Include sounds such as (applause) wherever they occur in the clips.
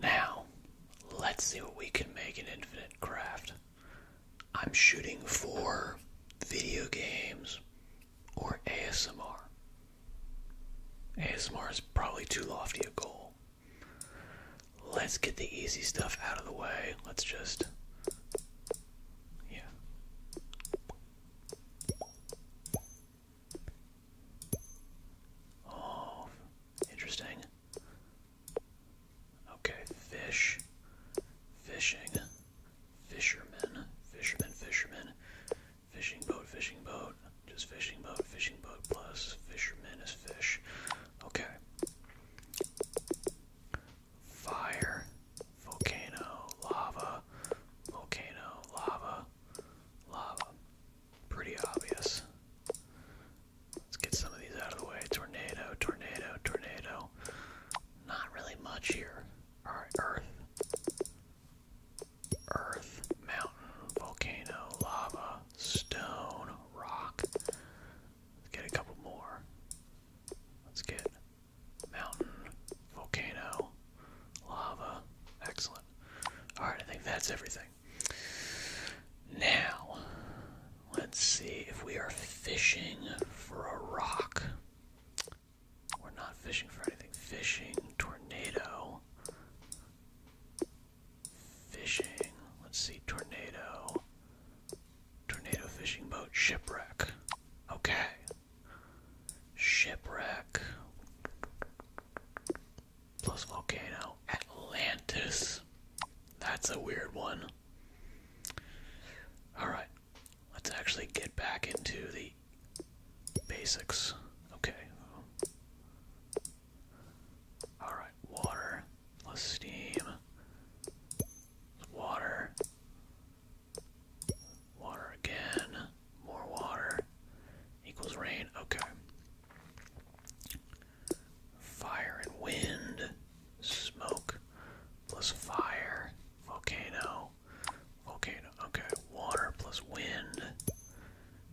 Now, let's see what we can make in Infinite Craft. I'm shooting for video games or ASMR. ASMR is probably too lofty a goal. Let's get the easy stuff out of the way. Let's just. Yeah. Oh, Interesting. Okay, fish. Fishing. fishermen, fishermen, fishermen, Fishing boat, fishing boat. Just fishing boat, fishing boat plus fishermen is fish. Okay. Fire. Volcano. Lava. Volcano. Lava. Lava pretty obvious. Let's get some of these out of the way. Tornado, tornado, tornado. Not really much here. Alright, earth. Earth, mountain, volcano, lava, stone, rock. Let's get a couple more. Let's get mountain, volcano, lava. Excellent. Alright, I think that's everything. Now, let's see if we are fishing for a rock. We're not fishing for anything. Fishing, tornado. Fishing. Let's see, tornado. Tornado fishing boat, shipwreck. Okay. Shipwreck plus volcano. Atlantis. That's a weird one. Alright, let's actually get back into the basics. Okay. Alright, water plus steam. Water. Water again. More water equals rain. Okay. Fire and wind. Smoke plus fire. Volcano. Volcano. Okay. Water plus wind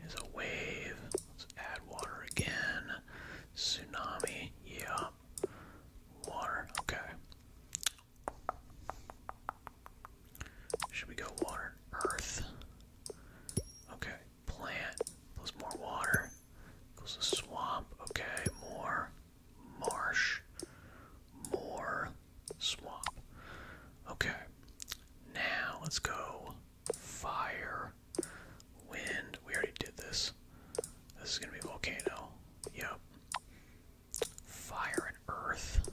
is a wave. Let's add water again. Tsunami. Yeah. Water. Okay. Should we go water? Earth. Okay. Plant plus more water equals a swamp. Okay, more marsh, more swamp. Okay, now let's go fire, wind. We already did this. This is gonna be volcano. Yep. Fire and earth.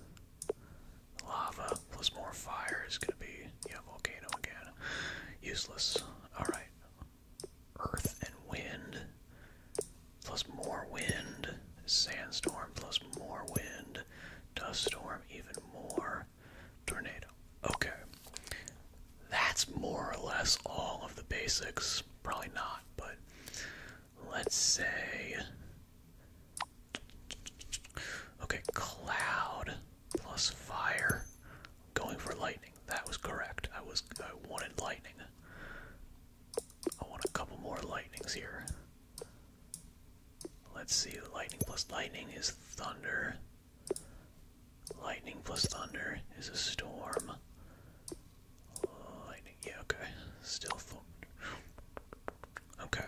Lava plus more fire is gonna be yeah volcano again. Useless. All right. Earth and wind plus more wind. Sandstorm plus more wind. Dust storm even more. Tornado. Okay. That's more or less all of the basics. Probably not, but let's say. Okay, cloud plus fire. Going for lightning. That was correct. I was I wanted lightning. I want a couple more lightnings here. Let's see. Lightning plus lightning is thunder. Lightning plus thunder is a storm. Lightning. Yeah, okay. Still thunder. Okay.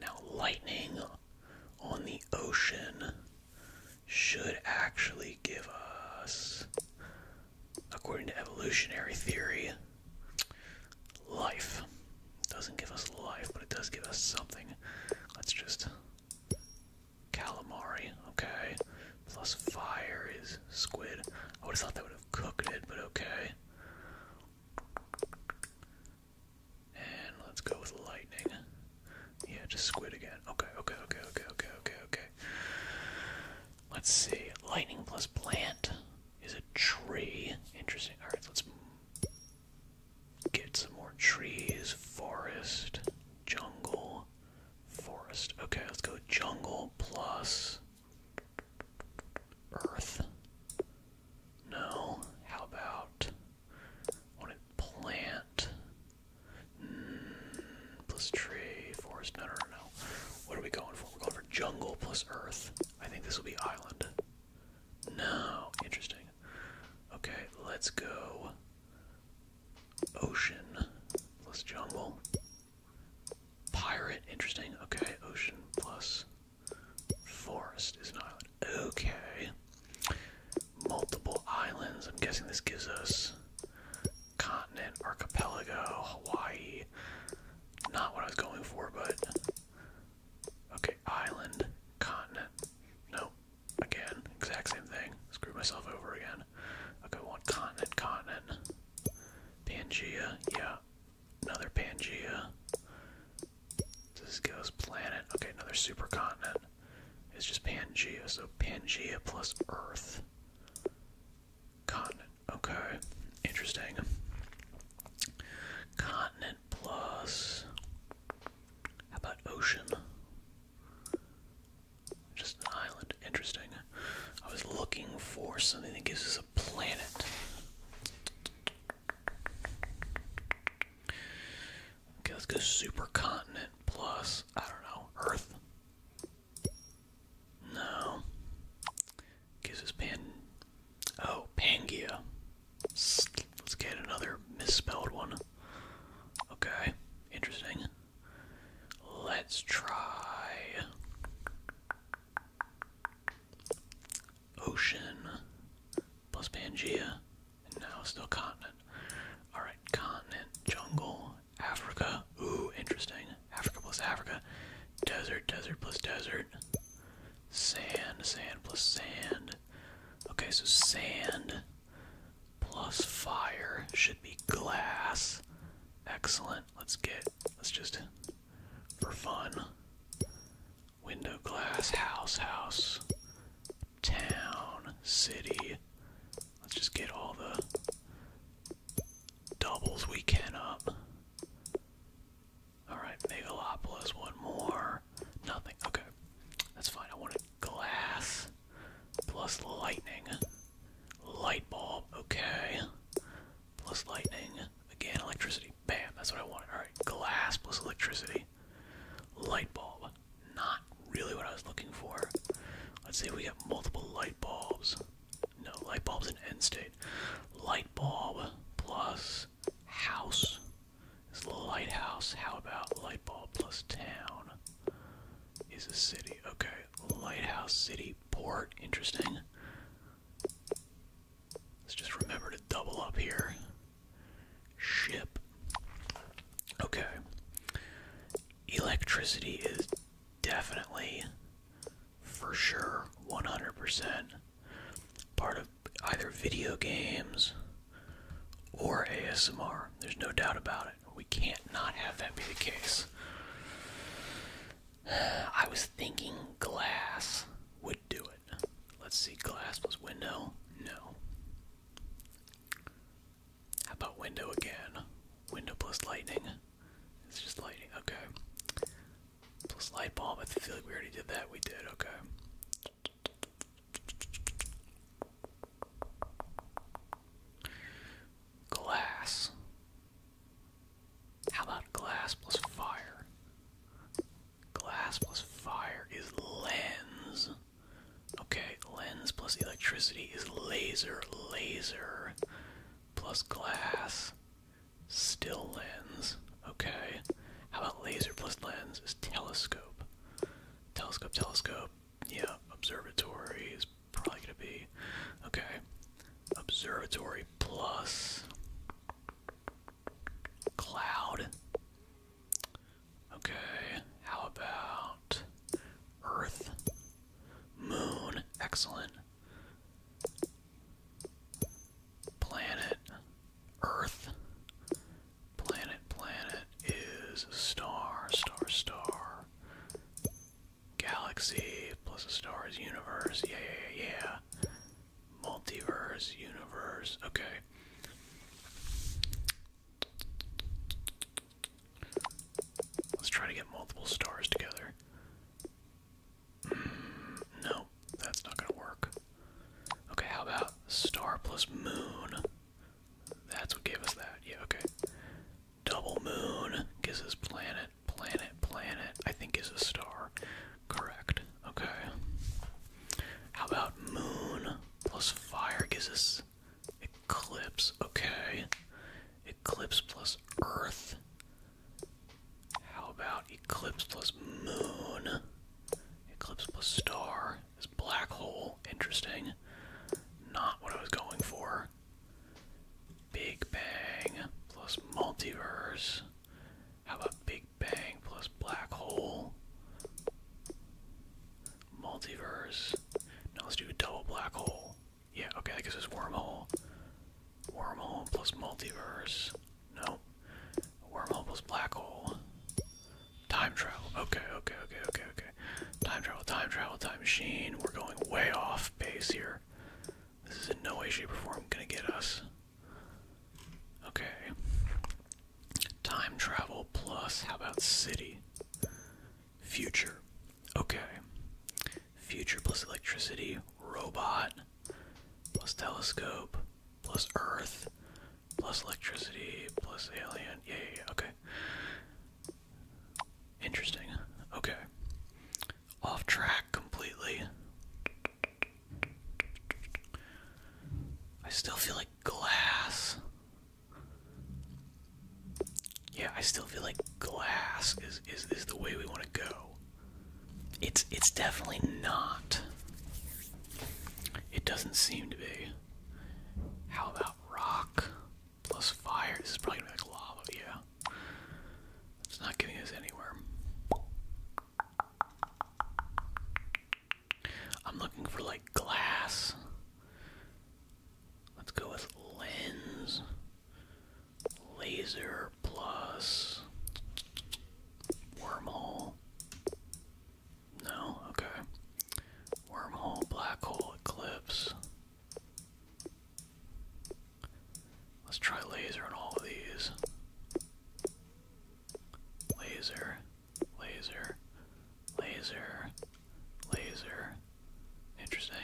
Now lightning on the ocean should actually give us, according to evolutionary theory, life. Doesn't give us life, but it does give us something. Let's just calamari, okay. Plus fire is squid. I would have thought that would have cooked it, but okay. And let's go with lightning. Yeah, just squid again. Okay, okay, okay, okay, okay, okay, okay. Let's see. Lightning plus plant is a tree. Interesting. Alright, let's get some more trees. Forest, jungle, forest. Okay, let's go jungle plus earth no. How about want it plant? Hmm, plus tree, forest. no, no, no. What are we going for? We're going for jungle plus earth. I think this will be island. No. Interesting. Okay, let's go. Ocean plus jungle. Pirate. Interesting. Okay, ocean plus Forest is an island. Okay. Multiple islands. I'm guessing this gives us continent, archipelago, Hawaii. Not what I was going for, but. Okay, island, continent. No, Again, exact same thing. Screw myself over again. Okay, one continent, continent. Pangea, yeah. Another Pangea. This goes planet. Okay, another supercontinent. It's just Pangea. So Pangea plus Earth. Continent. Okay, interesting. Continent plus. How about ocean? Just an island. Interesting. I was looking for something that gives us a planet. Okay, let's go supercontinent plus, I don't know, Earth. No. Gives us Pan. Oh, Pangaea. Let's get another misspelled one. Okay, interesting. Let's try. Ocean plus Pangea. No, still continent. Alright, continent, jungle, Africa. Ooh, interesting. Africa plus Africa. Desert, desert plus desert. Sand, sand plus sand. Okay, so sand plus fire should be glass. Excellent. Let's get, let's just, for fun, Window glass, house, house, town, city. Let's just get all the doubles we can up. Alright, Megalopolis, one more. Nothing. Okay. That's fine. I want a glass plus lightning. Light bulb, okay. Plus lightning. Again, electricity. Bam, that's what I wanted. Alright, glass plus electricity. Light bulb. Not really what I was looking for. Let's see if we get multiple light bulbs. No, light bulb's an end state. Light bulb plus house is lighthouse. How about light bulb plus town is a city? Okay, lighthouse, city, port. Interesting. Let's just remember to double up here. Ship. Okay. Electricity is definitely, for sure, 100% part of either video games or ASMR. There's no doubt about it. We can't not have that be the case. (sighs) I was thinking glass would do it. Let's see, glass plus window? No. How about window again? Window plus lightning? It's just lightning, okay. Plus light bulb, I feel like we already did that. We did, okay. Glass. How about glass plus fire? Glass plus fire is lens. Okay, lens plus electricity is laser. Laser plus glass, still lens. Okay, how about laser plus lens is telescope. Telescope, telescope. Yeah, observatory is probably gonna be. Okay, observatory plus Cloud. Okay, how about Earth? Moon. Excellent. Planet. Earth. Planet, planet is a star, star, star. Galaxy plus a star is universe. Yeah, yeah, yeah multiverse, universe. Okay. Let's try to get multiple stars together. Mm, no, that's not gonna work. Okay, how about star plus moon? That's what gave us that. Yeah, okay. Double moon gives us planet, planet, planet. I think is a star. Correct. Okay. How about moon plus fire gives us eclipse? Okay. Eclipse plus earth. How about eclipse plus moon? Eclipse plus star is black hole. Interesting. Not what I was going for. Big Bang plus multiverse. How about Big Bang plus black hole. Multiverse. Now let's do a double black hole. Yeah, okay, I guess it's wormhole. Wormhole plus multiverse. No. Wormhole plus black hole. Time travel. Okay, okay, okay, okay, okay. Time travel, time travel, time machine. We're going way off base here. This is in no way, shape, or form gonna get us. Okay. Time travel plus, how about city? Future. Okay. Future plus electricity, robot, plus telescope, plus earth, plus electricity, plus alien. Yeah, yeah. okay. Interesting. Okay. Off track completely. I still feel like glass. Yeah, I still feel like glass is is, is the way we want to go. It's it's definitely not. It doesn't seem to be. How about rock plus fire? This is probably gonna be like lava, yeah. It's not getting us anywhere. I'm looking for like glass. Let's go with lens. Laser plus wormhole. No, okay. Wormhole, black hole, eclipse. Let's try laser on all of these. Laser laser, laser, laser. Interesting.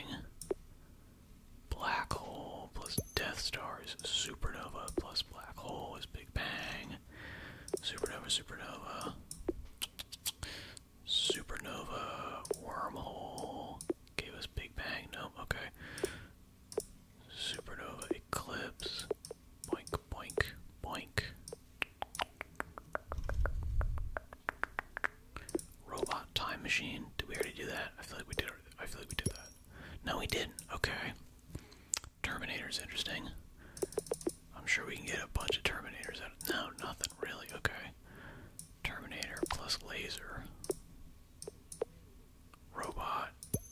Black hole plus Death Star is supernova plus black hole is Big Bang. Supernova, supernova. Supernova, wormhole. Gave us Big Bang. Nope, okay. Supernova Eclipse. Boink, boink, boink. Robot Time Machine. Did we already do that? I feel like we did. I feel like we did that. No, we didn't. Okay. Terminator's interesting. I'm sure we can get a bunch of Terminators out No, nothing really. Okay. Terminator plus laser. Robot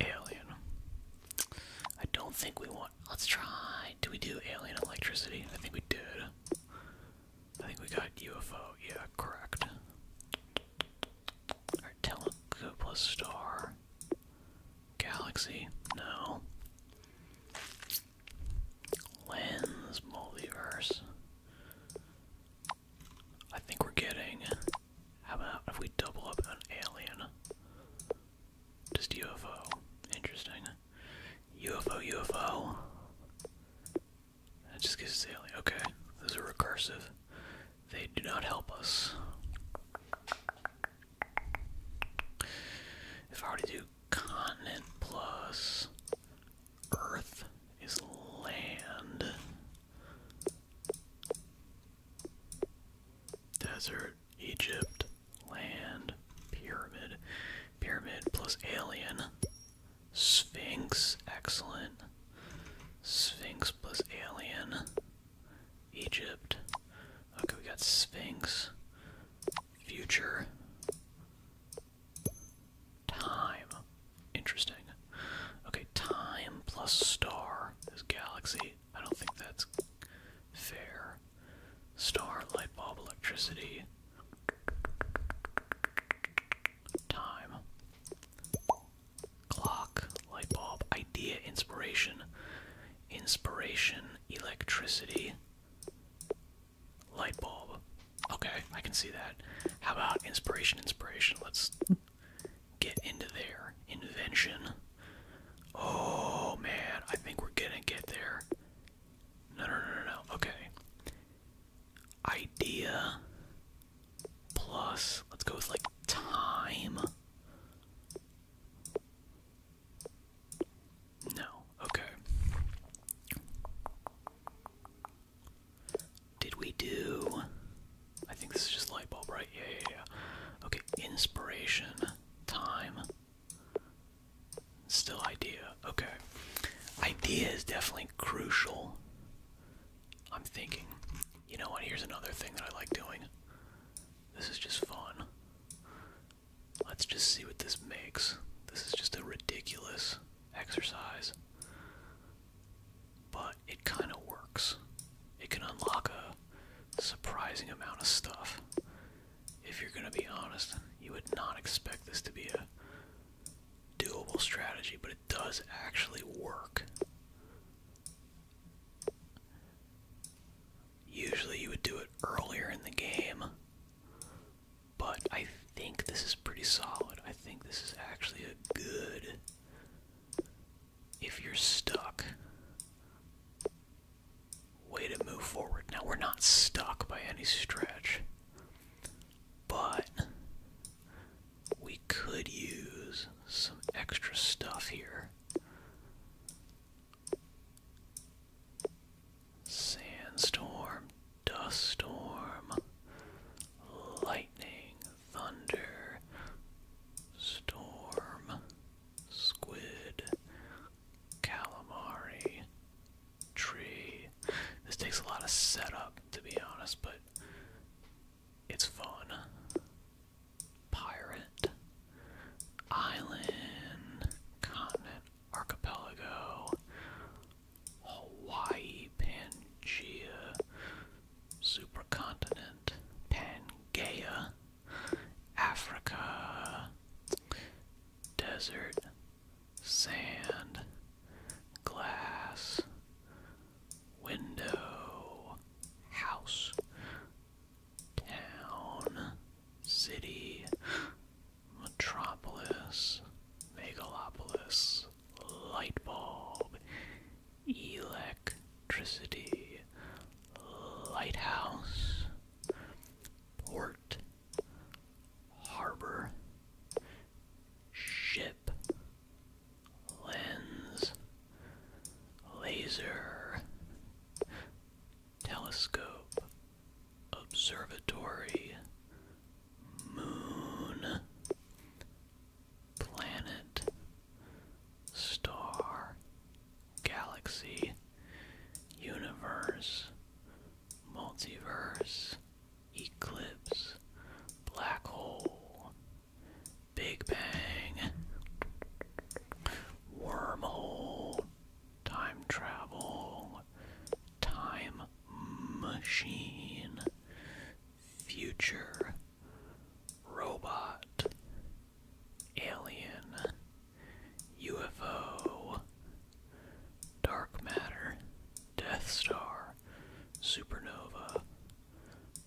Alien. I don't think we want. Let's try. Do we do alien electricity? I think we did. I think we got UFO. Yeah, correct. Our telescope plus star. Galaxy. No. Lens multiverse. I think we're getting how about if we double up an alien? Just UFO. Interesting. UFO, UFO. That just gives us alien. Okay, those are recursive. They do not help us. If I were to do continent plus earth is land. Desert, Egypt, land, pyramid, pyramid plus alien, Sphinx, excellent. Sphinx plus alien, Egypt. Okay, we got Sphinx, future, time. Interesting. Okay, time plus star is galaxy. I don't think that's fair. Star, light bulb, electricity. Time. Clock, light bulb, idea, inspiration. Inspiration, electricity. Light bulb. Okay, I can see that. How about inspiration, inspiration? Let's get into their invention. Oh man, I think we're gonna get there. No, no, no, no, no. Okay. Idea plus, let's go with like time. No, okay. Did we do I think this is just light bulb, right? Yeah, yeah, yeah. Okay, inspiration, time, still idea. Okay, idea is definitely crucial. I'm thinking, you know what? Here's another thing that I like doing. This is just fun. Let's just see what this makes. This is just a ridiculous exercise but it kind of works. It can unlock a surprising amount of stuff. If you're going to be honest, you would not expect this to be a doable strategy, but it does actually work. Usually you would do it earlier in the game, but I think this is pretty solid. I think this is actually a good if you're stuck. Way to move forward. Now, we're not stuck by any stretch, but we could use some extra stuff here. Sandstorm, dust storm, lightning, thunder, storm, squid, calamari, tree. This takes a lot of setup, to be honest, but it's fun. Pirate, island, continent, archipelago, Hawaii, Pangea, supercontinent, Pangaea, Africa, desert, sand, glass, window, house, town, city, metropolis, megalopolis, light bulb, electricity, lighthouse, port, harbor, ship, lens, laser, telescope, observatory, moon, planet, star, galaxy, universe, multiverse, eclipse, black hole, big bang, wormhole, time travel, time machine, future, robot, alien, UFO, dark matter, Death Star, supernova,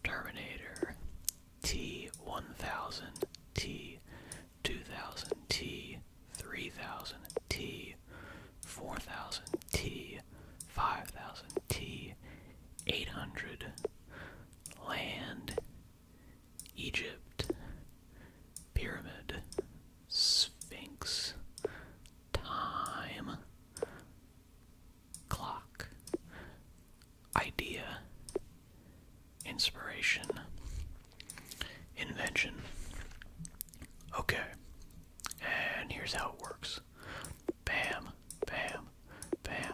Terminator, T one thousand, T two thousand, T three thousand, T four thousand, T five thousand, T eight hundred land, Egypt, pyramid, sphinx, time, clock, idea, inspiration, invention. Okay, and here's how it works. Bam, bam, bam,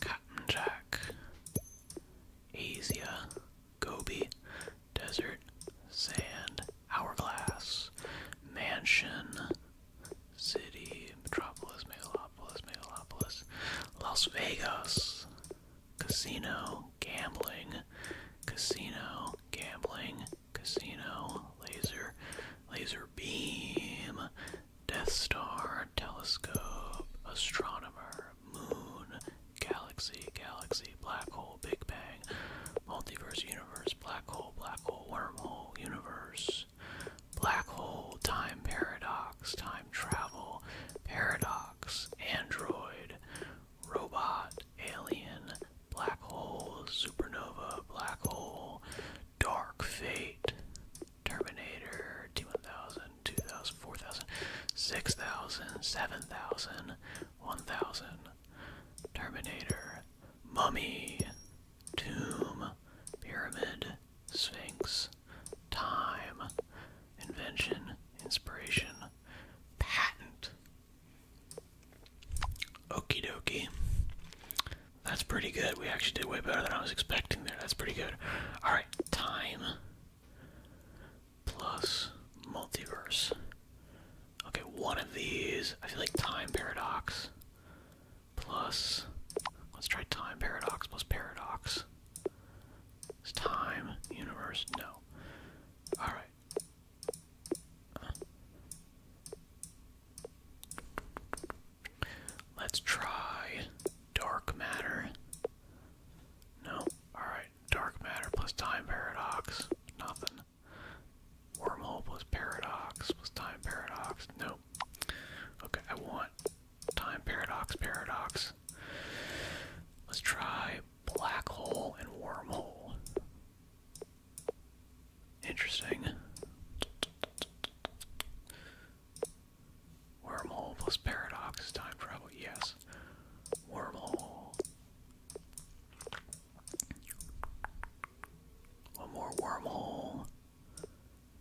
Cotton Jack, Asia, Gobi, Desert, Sand, hourglass, mansion, city, metropolis, megalopolis, megalopolis, Las Vegas, casino, gambling, casino, gambling, casino, laser, laser beam, Death Star, telescope, astronomer, moon, galaxy, galaxy, black hole, big bang, multiverse, universe, black hole, black hole, wormhole, universe, black hole, time paradox, time travel, paradox, android, robot, alien, black hole, supernova, black hole, dark fate, terminator, 2000, 2000, 4000, 6000, 7000, 1000, Terminator, Mummy, Tomb, Pyramid, Sphinx, Time, Invention, Inspiration, Patent. Okie dokie. That's pretty good. We actually did way better than I was expecting there. That's pretty good. Alright, time plus multiverse Okay, one of these. I feel like time paradox plus. Let's try time paradox plus paradox. It's time, universe, no. Alright. Let's try dark matter. No, alright. Dark matter plus time paradox. Nothing. Wormhole was paradox plus time paradox. nope Okay, I want time paradox, paradox. Let's try black hole and wormhole. Interesting. Wormhole was paradox time travel, yes. Wormhole. One more wormhole.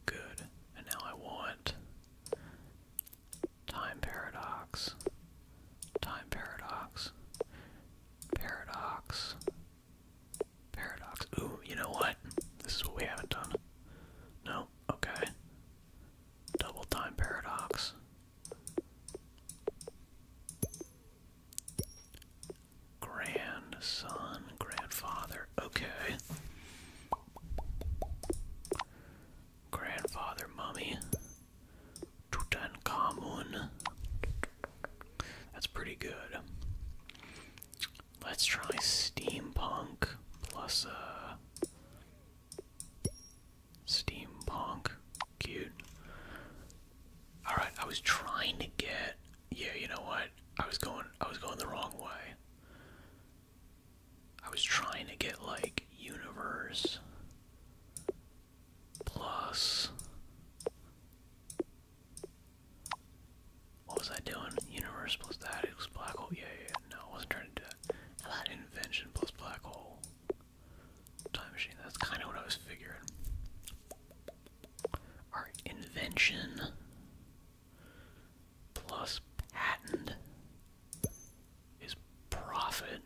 Good. And now I want time paradox. Time paradox. Paradox. Paradox. Ooh, you know what? This is what we haven't done. No? Okay. Double time paradox grandson, grandfather. Okay. Grandfather mummy. Tutankhamun. That's pretty good. Let's try steampunk plus a uh, steampunk Cute. Alright, I was trying to get yeah, you know what? I was going I was going the wrong way. I was trying to get like universe plus what was I doing? Universe plus that equals black hole. Yeah, yeah, yeah. No, I wasn't trying to do that. How about invention plus black hole? Time machine, that's kind of what I was figuring. Our invention plus patent is profit.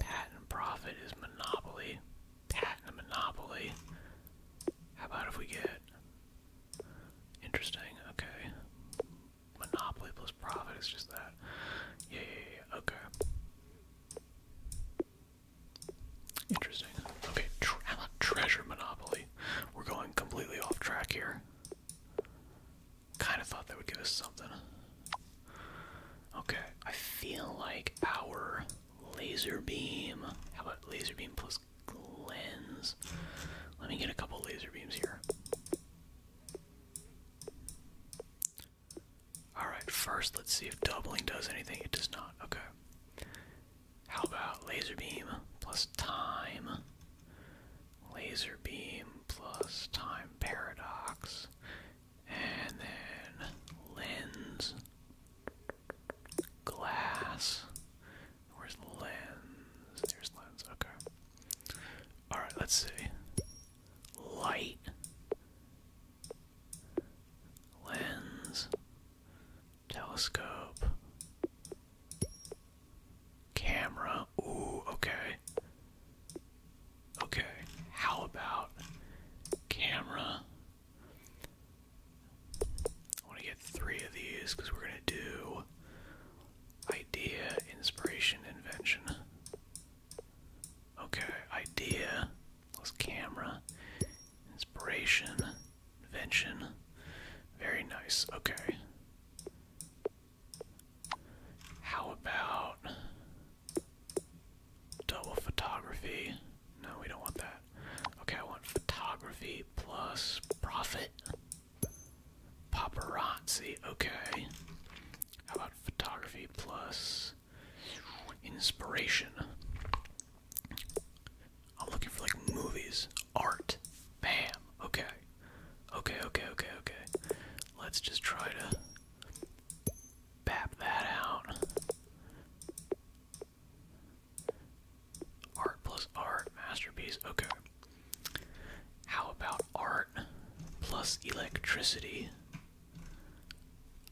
Patent profit is monopoly. Patent monopoly. How about if we get interesting? Okay. Monopoly plus profit is just that. Yeah, Okay. Interesting. Okay, tre how about Treasure Monopoly? We're going completely off track here. Kind of thought that would give us something. Okay, I feel like our laser beam. How about laser beam plus lens? Let me get a couple laser beams here. Alright, first let's see if doubling does anything. It does not. Okay. How about laser beam plus time? Laser beam plus time paradox. And then lens. Glass. Where's lens? There's lens. Okay. Alright, let's see. Light lens, telescope, camera. Ooh, okay. Okay, how about camera? I want to get three of these because we're going to do idea, inspiration, invention. Okay, idea. Plus camera. Inspiration. Invention. Very nice. Okay. How about double photography? No, we don't want that. Okay, I want photography plus profit. Paparazzi, okay. How about photography plus Inspiration. I'm looking for like movies, art. Bam. Okay. Okay, okay, okay, okay. Let's just try to bap that out. Art plus art, masterpiece. Okay. How about art plus electricity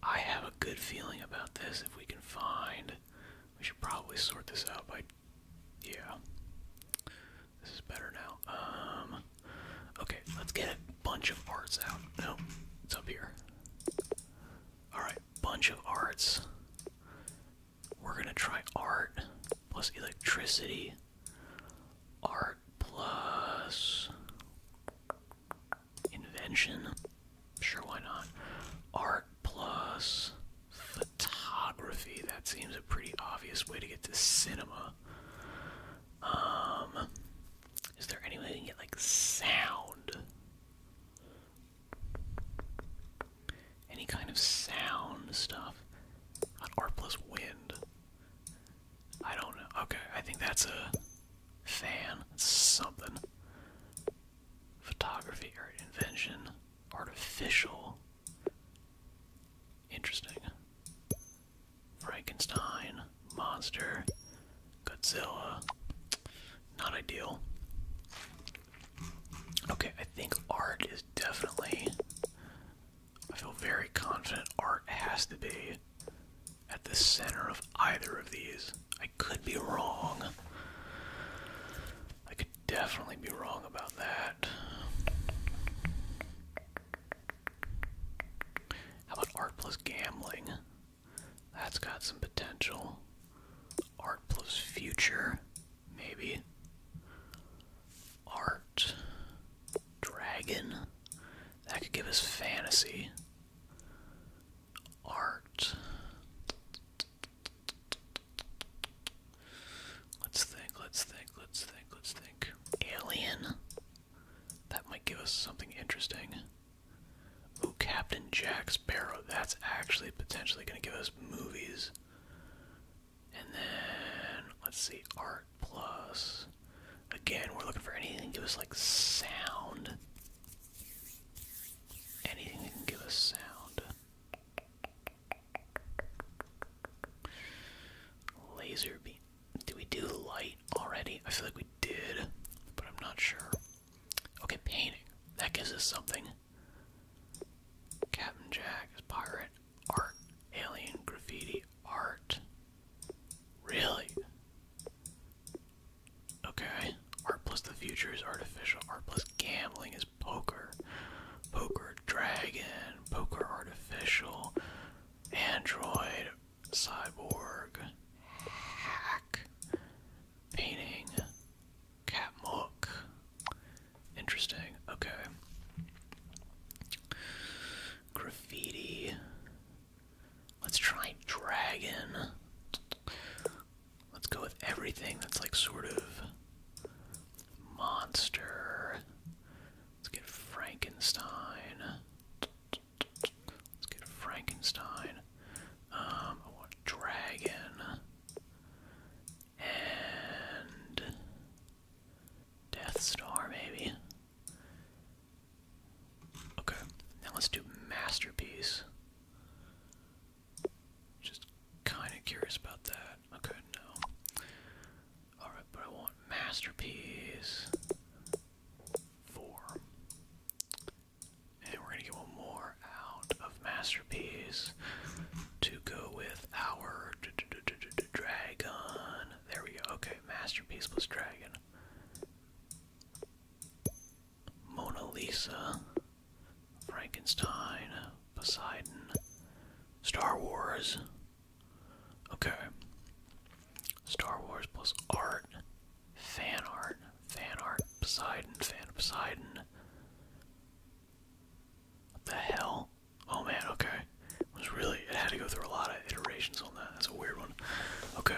I have a good feeling about this. If we can find, we should probably sort this out by. Yeah. This is better now. Um. Okay, let's get a bunch of arts out. No, it's up here. Alright, bunch of arts. We're gonna try art plus electricity. Art plus. Invention. Sure, why not? Art plus photography. That seems a pretty obvious way to get to cinema. Um, is there any way we get like sound? Any kind of sound stuff? art plus wind. I don't know. Okay, I think that's a fan. Something. Photography or invention. Artificial. Interesting. Frankenstein. Monster. Godzilla. Not ideal. Okay, I think art is definitely. I feel very confident art has to be at the center of either of these. I could be wrong. I could definitely be wrong about that. How about art plus gambling? That's got some potential. Art plus future, maybe. Art. Dragon. That could give us fantasy art. Let's think, let's think, let's think, let's think. Alien? That might give us something interesting. Oh, Captain Jack Sparrow. That's actually potentially going to give us movies. And then, let's see, art plus. Again, we're looking for anything Give us like sound. Anything that can give us sound. Laser beam. Did we do light already? I feel like we did, but I'm not sure. Okay, painting. That gives us something. Captain Jack is pirate. Art. Alien graffiti. Art. Really? Okay. Art plus the future is artificial. Art plus gambling is poker. Poker dragon. Poker artificial. Android. Cyborg. Hack. Painting. Cat mook. Interesting. Okay. Graffiti. Let's try dragon. Let's go with everything that's like sort of monster. Let's get Frankenstein. Let's get Frankenstein. Um, I want dragon. And Death Star, maybe. Okay, now let's do masterpiece. Just kind of curious about that. Okay, no. Alright, but I want masterpiece four. And we're gonna get one more out of masterpiece to go with our dragon. There we go. Okay, masterpiece plus dragon. Mona Lisa, Frankenstein, Poseidon, Star Wars. Okay. Star Wars plus art, fan art, fan art, Poseidon, fan Poseidon. What the hell? Oh man, okay. was really, it had to go through a lot of iterations on that. That's a weird one. Okay.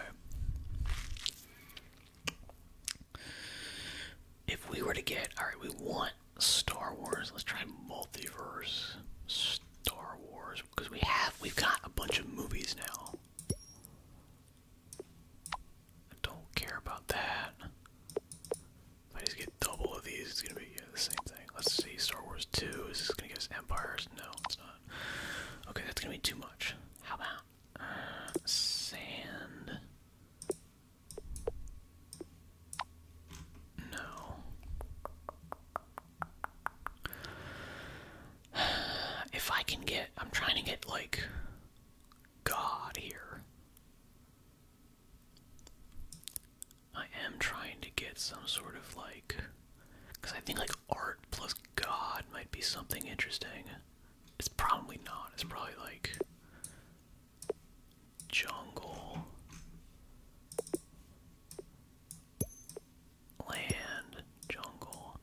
If we were to get, alright, we want Star Wars. Let's try multiverse Star Wars because we have, we've got a bunch of movies now. I don't care about that. If I just get double of these, it's gonna be the same thing. Let's see, Star Wars 2. Is this gonna give us Empires? No, it's not. Okay, that's gonna be too much. How about uh, sand? No. (sighs) If I can get, I'm trying to get like God here. I am trying to get some sort of like, because I think like art plus god might be something interesting. It's probably not. It's probably like jungle land, jungle,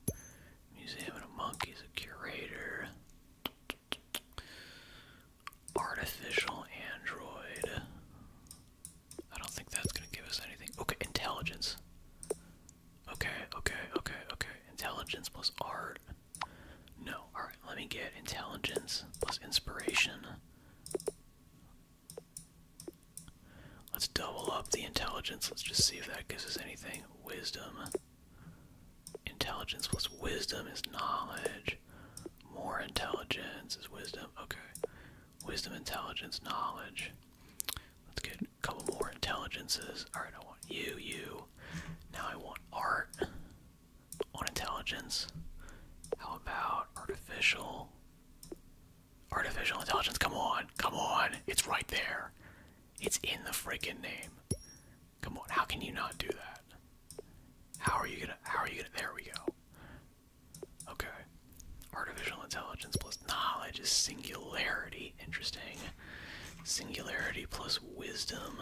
museum and a monkey's a curator. Artificial android. I don't think that's gonna give us anything. Okay, intelligence. Okay, okay, okay, okay. Intelligence plus art. No. Alright, let me get intelligence plus inspiration. Let's double up the intelligence. Let's just see if that gives us anything. Wisdom. Intelligence plus wisdom is knowledge. More intelligence is wisdom. Okay. Wisdom, intelligence, knowledge. Let's get couple more intelligences. Alright, I want you, you. Now I want art on intelligence. How about artificial? Artificial intelligence, come on, come on. It's right there. It's in the freaking name. Come on, how can you not do that? How are you gonna, how are you gonna, there we go. Okay. Artificial intelligence plus knowledge is singularity. Interesting. Singularity plus wisdom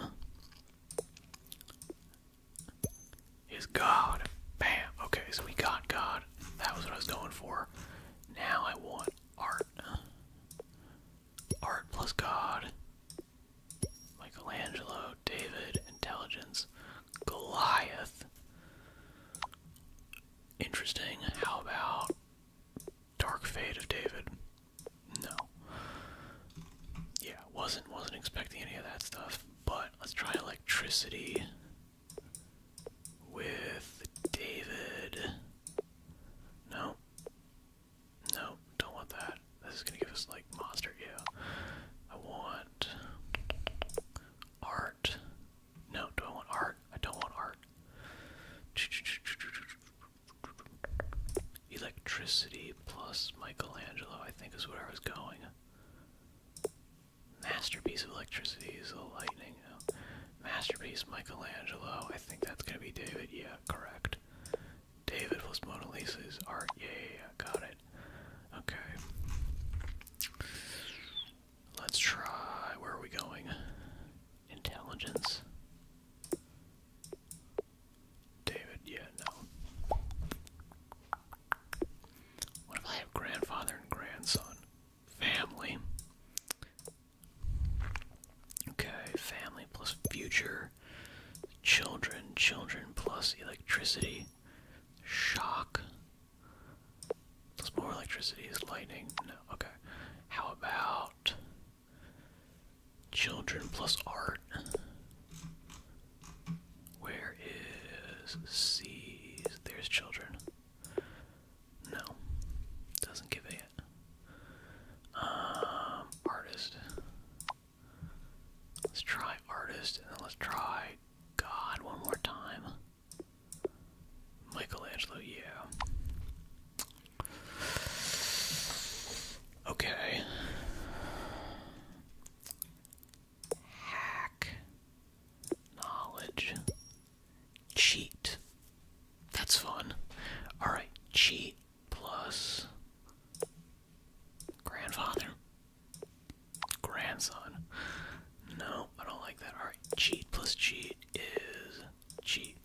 is God. Bam. Okay, so we got God. That was what I was going for. Now I want art. Art plus God. Michelangelo, David, intelligence, Goliath. Interesting. How about Dark Fate of David? No. Yeah, wasn't wasn't expecting any of that stuff. But let's try electricity with David. No. No, don't want that. This is gonna give us like monster, yeah. I want art. No, do I want art? I don't want art. Electricity plus Michelangelo, I think, is where I was going. Masterpiece of electricity is the lightning. Masterpiece Michelangelo, I think that's gonna be David. Yeah, correct. David was Mona Lisa's art. Yeah, yeah, yeah, got it. Okay. Let's try. Where are we going? Intelligence. David, yeah, no. What if I have grandfather and grandson? Family. Okay, family plus future. Children, children plus electricity. Shock. That's more electricity is lightning. No, okay. How about children plus art? Where is C's? There's children. No, doesn't give it. Um, artist. Let's try artist, and then let's try God one more time. Michelangelo, yeah. Okay. Hack. Knowledge. Cheat. That's fun. Alright, cheat plus grandfather. Grandson. No, I don't like that. Alright, cheat plus cheat is cheat.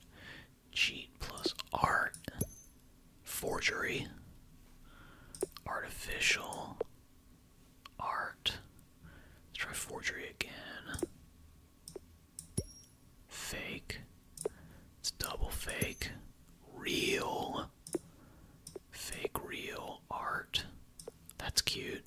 Cheat plus art. Forgery. Artificial. Art. Let's try forgery again. Fake. It's double fake. Real. Fake real art. That's cute.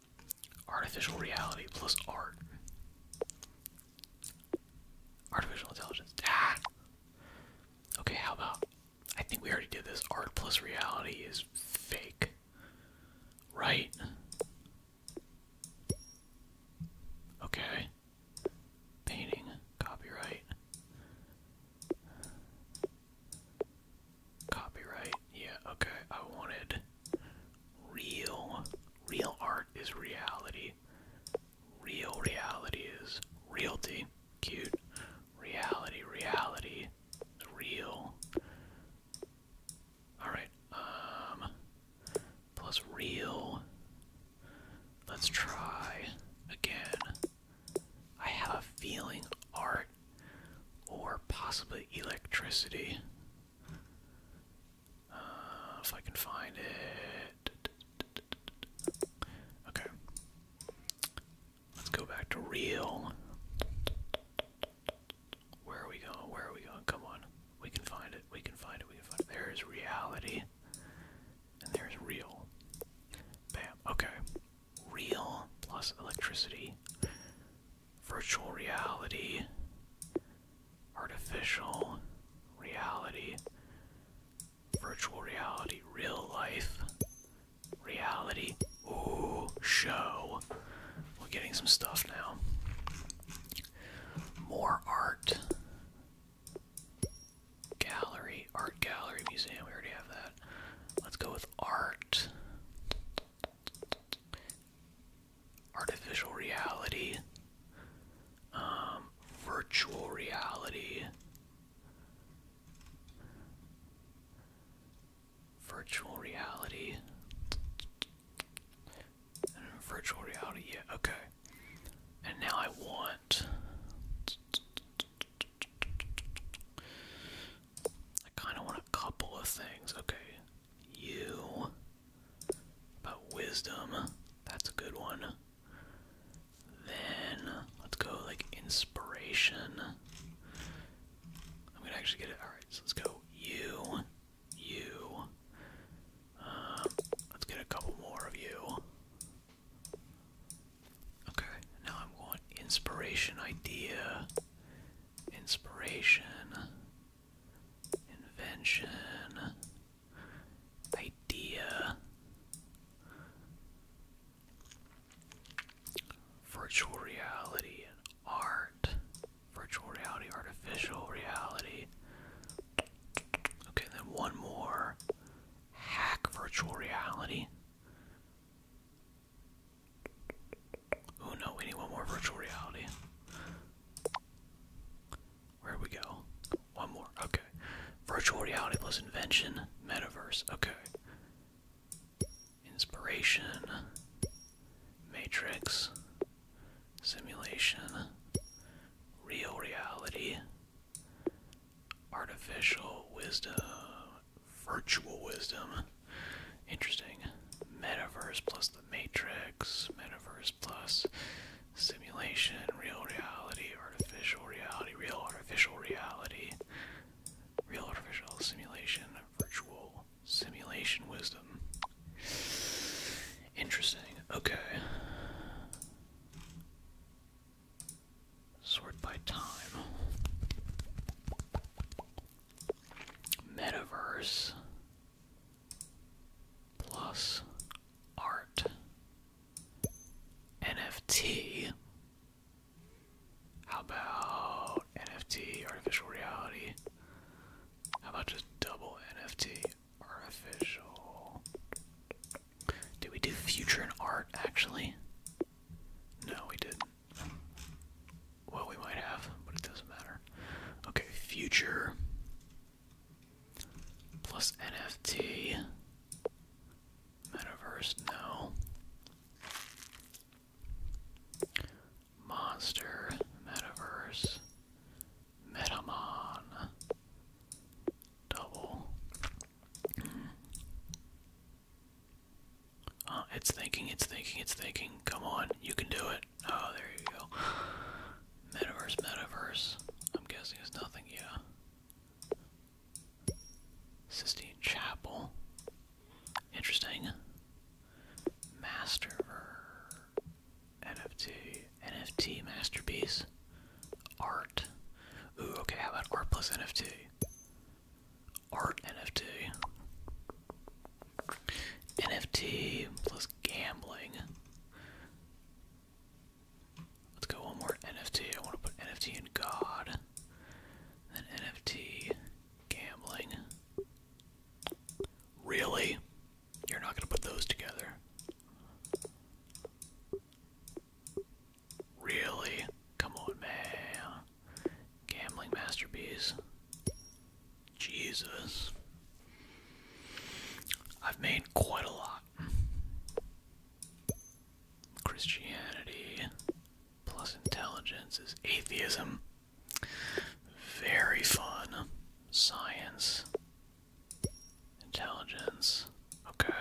Artificial reality plus art. Artificial intelligence. Ah! Okay, how about. I think we already did this. Art plus reality is fake. Right? Okay. Painting. Copyright. Copyright. Yeah, okay. I wanted Real, real art is reality. Real reality is realty. Cute. Reality, reality, real. Alright, um, plus real. Let's try again. I have a feeling art or possibly electricity uh, if I can find it. Okay. Let's go back to real. Where are we going? Where are we going? Come on. We can find it. We can find it. We can find it. There's reality. And there's real. Bam. Okay. Real plus electricity virtual reality, artificial reality, virtual reality, real life, reality. Ooh, show. We're getting some stuff now. More art. Gallery, art gallery, museum. We already have that. Let's go with art artificial reality, um, virtual reality, virtual reality, virtual reality. Yeah, okay. And now I want. I kind of want a couple of things. Okay, you. But wisdom, that's a good one. Then let's go like inspiration. I'm gonna actually get it. Alright, so let's go you, you. Uh, let's get a couple more of you. Okay, now I'm going inspiration idea. Inspiration. Invention. Idea. Virtual reality art. Virtual reality, artificial reality. Okay, then one more. Hack virtual reality. Oh no, we need one more virtual reality. Where we go? One more. Okay. Virtual reality plus invention, metaverse. Okay. Inspiration, matrix, simulation, real reality, artificial wisdom, virtual wisdom. Interesting. Metaverse plus the Matrix, Metaverse Plus, Simulation, Real Reality, Artificial Reality, Real Artificial Reality, Real Artificial Simulation, Virtual Simulation Wisdom. Interesting. Okay. Sort by time. Metaverse plus art NFT. How about NFT artificial reality? How about just double NFT artificial? Do we do future and art actually? No, we didn't. Well, we might have, but it doesn't matter. Okay, future plus NFT. Metaverse, no. Monster, Metaverse, Metamon, Double. Uh, it's thinking, it's thinking, it's thinking. Come on, you can do it. Oh, there you go. Metaverse, metaverse. I'm guessing it's nothing, yeah. Sistine Chapel. Interesting. Master. NFT. NFT masterpiece. Art. Ooh, okay, how about art plus NFT? Art NFT. NFT plus gambling. Let's go one more NFT. I want to put NFT in God. Then NFT gambling. Really? You're not going to put those together. Really? Come on, man. Gambling masterpiece. Jesus. I've made quite a lot. Christianity plus intelligence is atheism. Very fun. Science. Intelligence. Okay.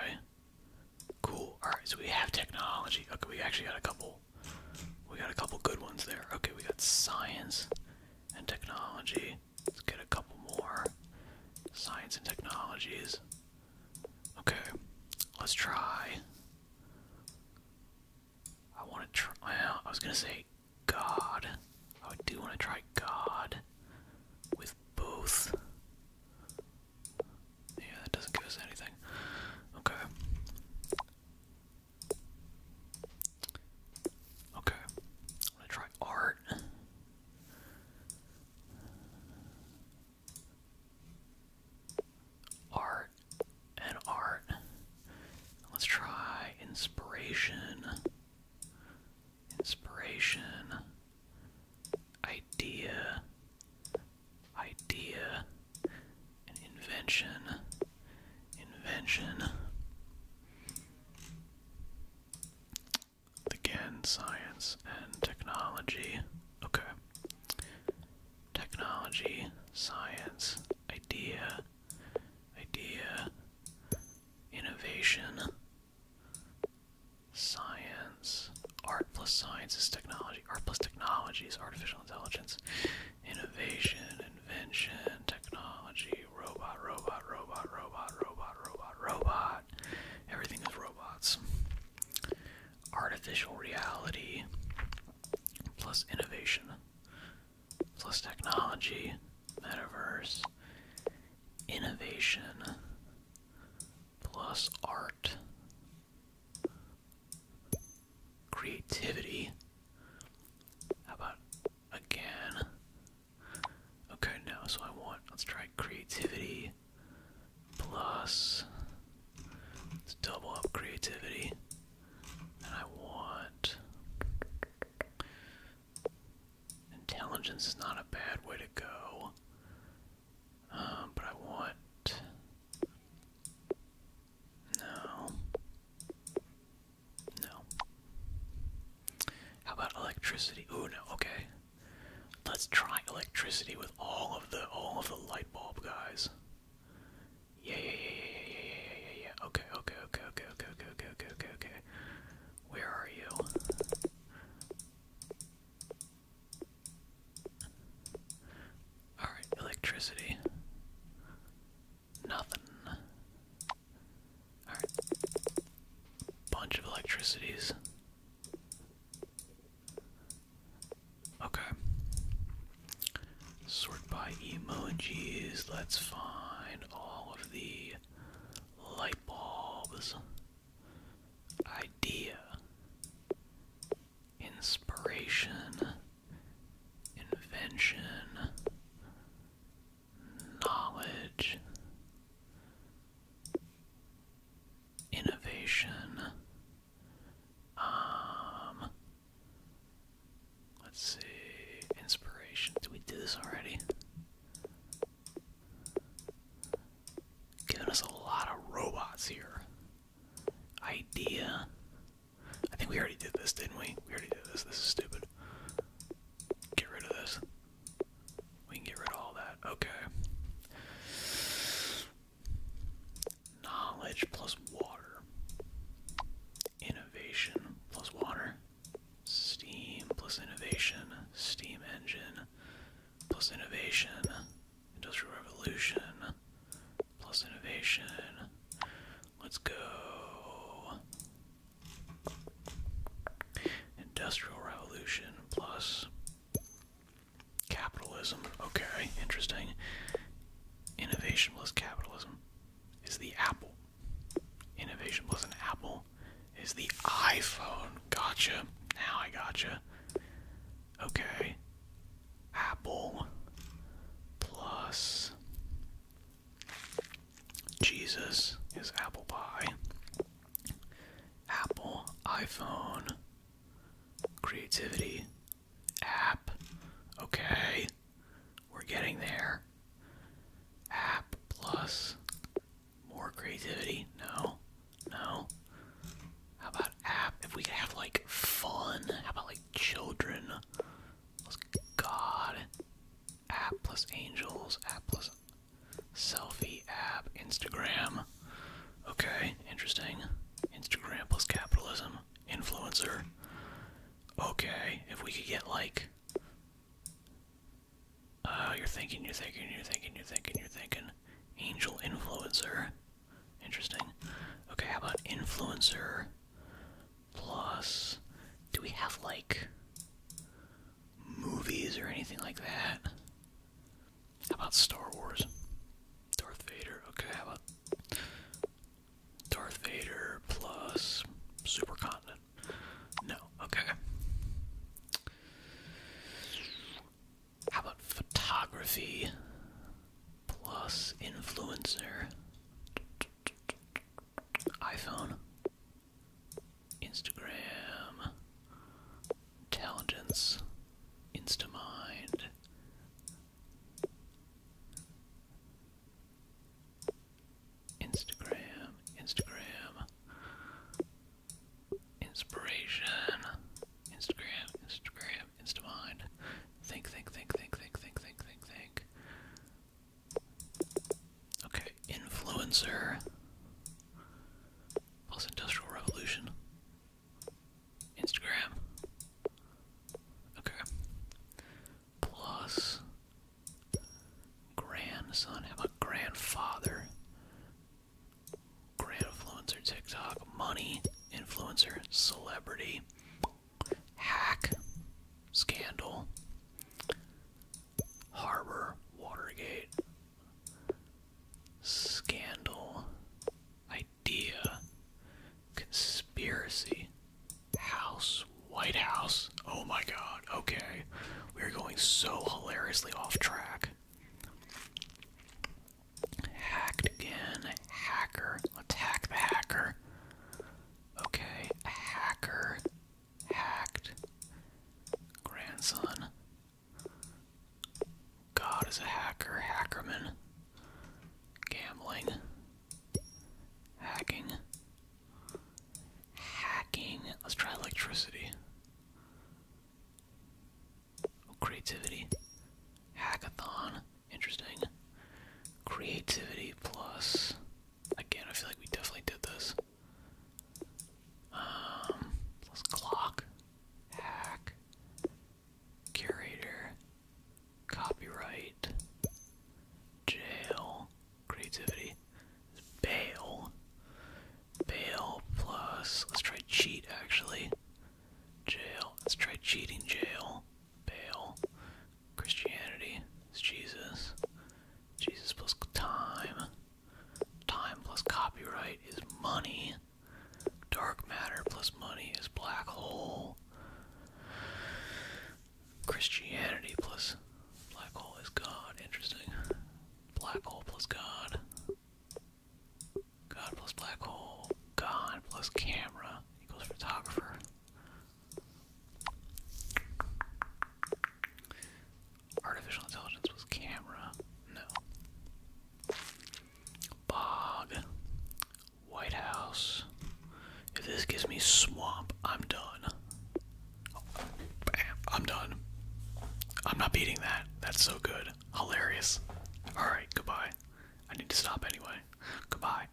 Cool. Alright, so we have technology. Okay, we actually got a couple. We got a couple good ones there. Okay, we got science, and technology. Let's get a couple more science and technologies. Okay, let's try. I want to try. Well, I was gonna say God. I do want to try God with both. Yeah, that doesn't give us anything. Okay. Okay, I'm gonna try art. Art and art. Let's try inspiration. Inspiration. Idea. Idea. An invention invention. Again, science and technology. Okay. Technology, science, idea, idea, innovation, science, art plus science is technology, art plus technology is artificial intelligence, Innovation, invention, technology, robot, robot, robot, robot, robot, robot, robot. Everything is robots. Artificial reality plus innovation plus technology, metaverse, innovation plus art, creativity. How about again. Okay, now so I want, let's try creativity plus, let's double up creativity. And I want, intelligence is not a bad way to go. Um, but I want, no. No. How about electricity? Oh no. Okay. Let's try electricity with all of the all of the light bulb guys. Yeah, yeah, yeah, yeah, yeah, yeah, yeah, yeah, okay, okay, okay, okay, okay, okay, okay, okay, okay. Where are you? All right, electricity. Nothing. Alright. Bunch of electricities. Okay. Sort by emojis. Let's find all of the light bulbs. Idea. Inspiration invention, knowledge, innovation. Um, let's see, inspiration. Did we do this already? Giving us a lot of robots here. Idea, I think we already did this, didn't we? We already did this. This is stupid. Get rid of this. We can get rid of all that. Okay. Knowledge plus water. Innovation plus water. Steam plus innovation. Steam engine plus innovation. Industrial revolution plus innovation. Let's go. Industrial Revolution plus capitalism. Okay, interesting. Innovation plus capitalism is the Apple. Innovation plus an Apple is the iPhone. Gotcha. Now I gotcha. Okay. Apple plus Jesus is apple pie. Apple, iPhone, creativity, app. Okay, we're getting there. App plus more creativity. No, no. How about app? If we could have like fun, how about like children? God, app plus angels, app plus selfie app, Instagram. Okay, interesting. Instagram plus capitalism, influencer. Okay, if we could get like. Uh, you're thinking, you're thinking, you're thinking, you're thinking, you're thinking. Angel influencer. Interesting. Okay, how about influencer? Plus, do we have like movies or anything like that? How about Star Wars? Darth Vader. Okay, how about Darth Vader plus Supercontinent? No. Okay. How about photography plus influencer? iPhone, Instagram, Intelligence, Instamind. Instagram, Instagram, inspiration, Instagram, Instagram, Instamind. Think, think, think, think, think, think, think, think, think. Okay, influencer plus industrial revolution. Instagram. Okay. Plus grandson. of a grandfather? Grand influencer TikTok. Money influencer celebrity hack, scandal, harbor, Watergate, scandal, idea, conspiracy, house, White House. Oh my god, okay. We're going so hilariously off track. Hacked again. Hacker. Attack the hacker. Okay, hacker, hacked, grandson. God is a hacker, hackerman, gambling, hacking, hacking. Let's try electricity. Creativity, hackathon, Interesting. Creativity plus. Again, I feel like we definitely did this. Um, plus clock, hack, curator, copyright, jail, creativity, bail, bail plus. Let's try cheat actually. Jail. Let's try cheating jail. Baal, Christianity is Jesus, Jesus plus time, time plus copyright is money, dark matter plus money is black hole, Christianity plus black hole is God, interesting, black hole plus God, God plus black hole, God plus camera equals photographer. Artificial intelligence with camera. No. Bog. White House. If this gives me swamp, I'm done. I'm done. I'm not beating that. That's so good. Hilarious. Alright, goodbye. I need to stop anyway. Goodbye.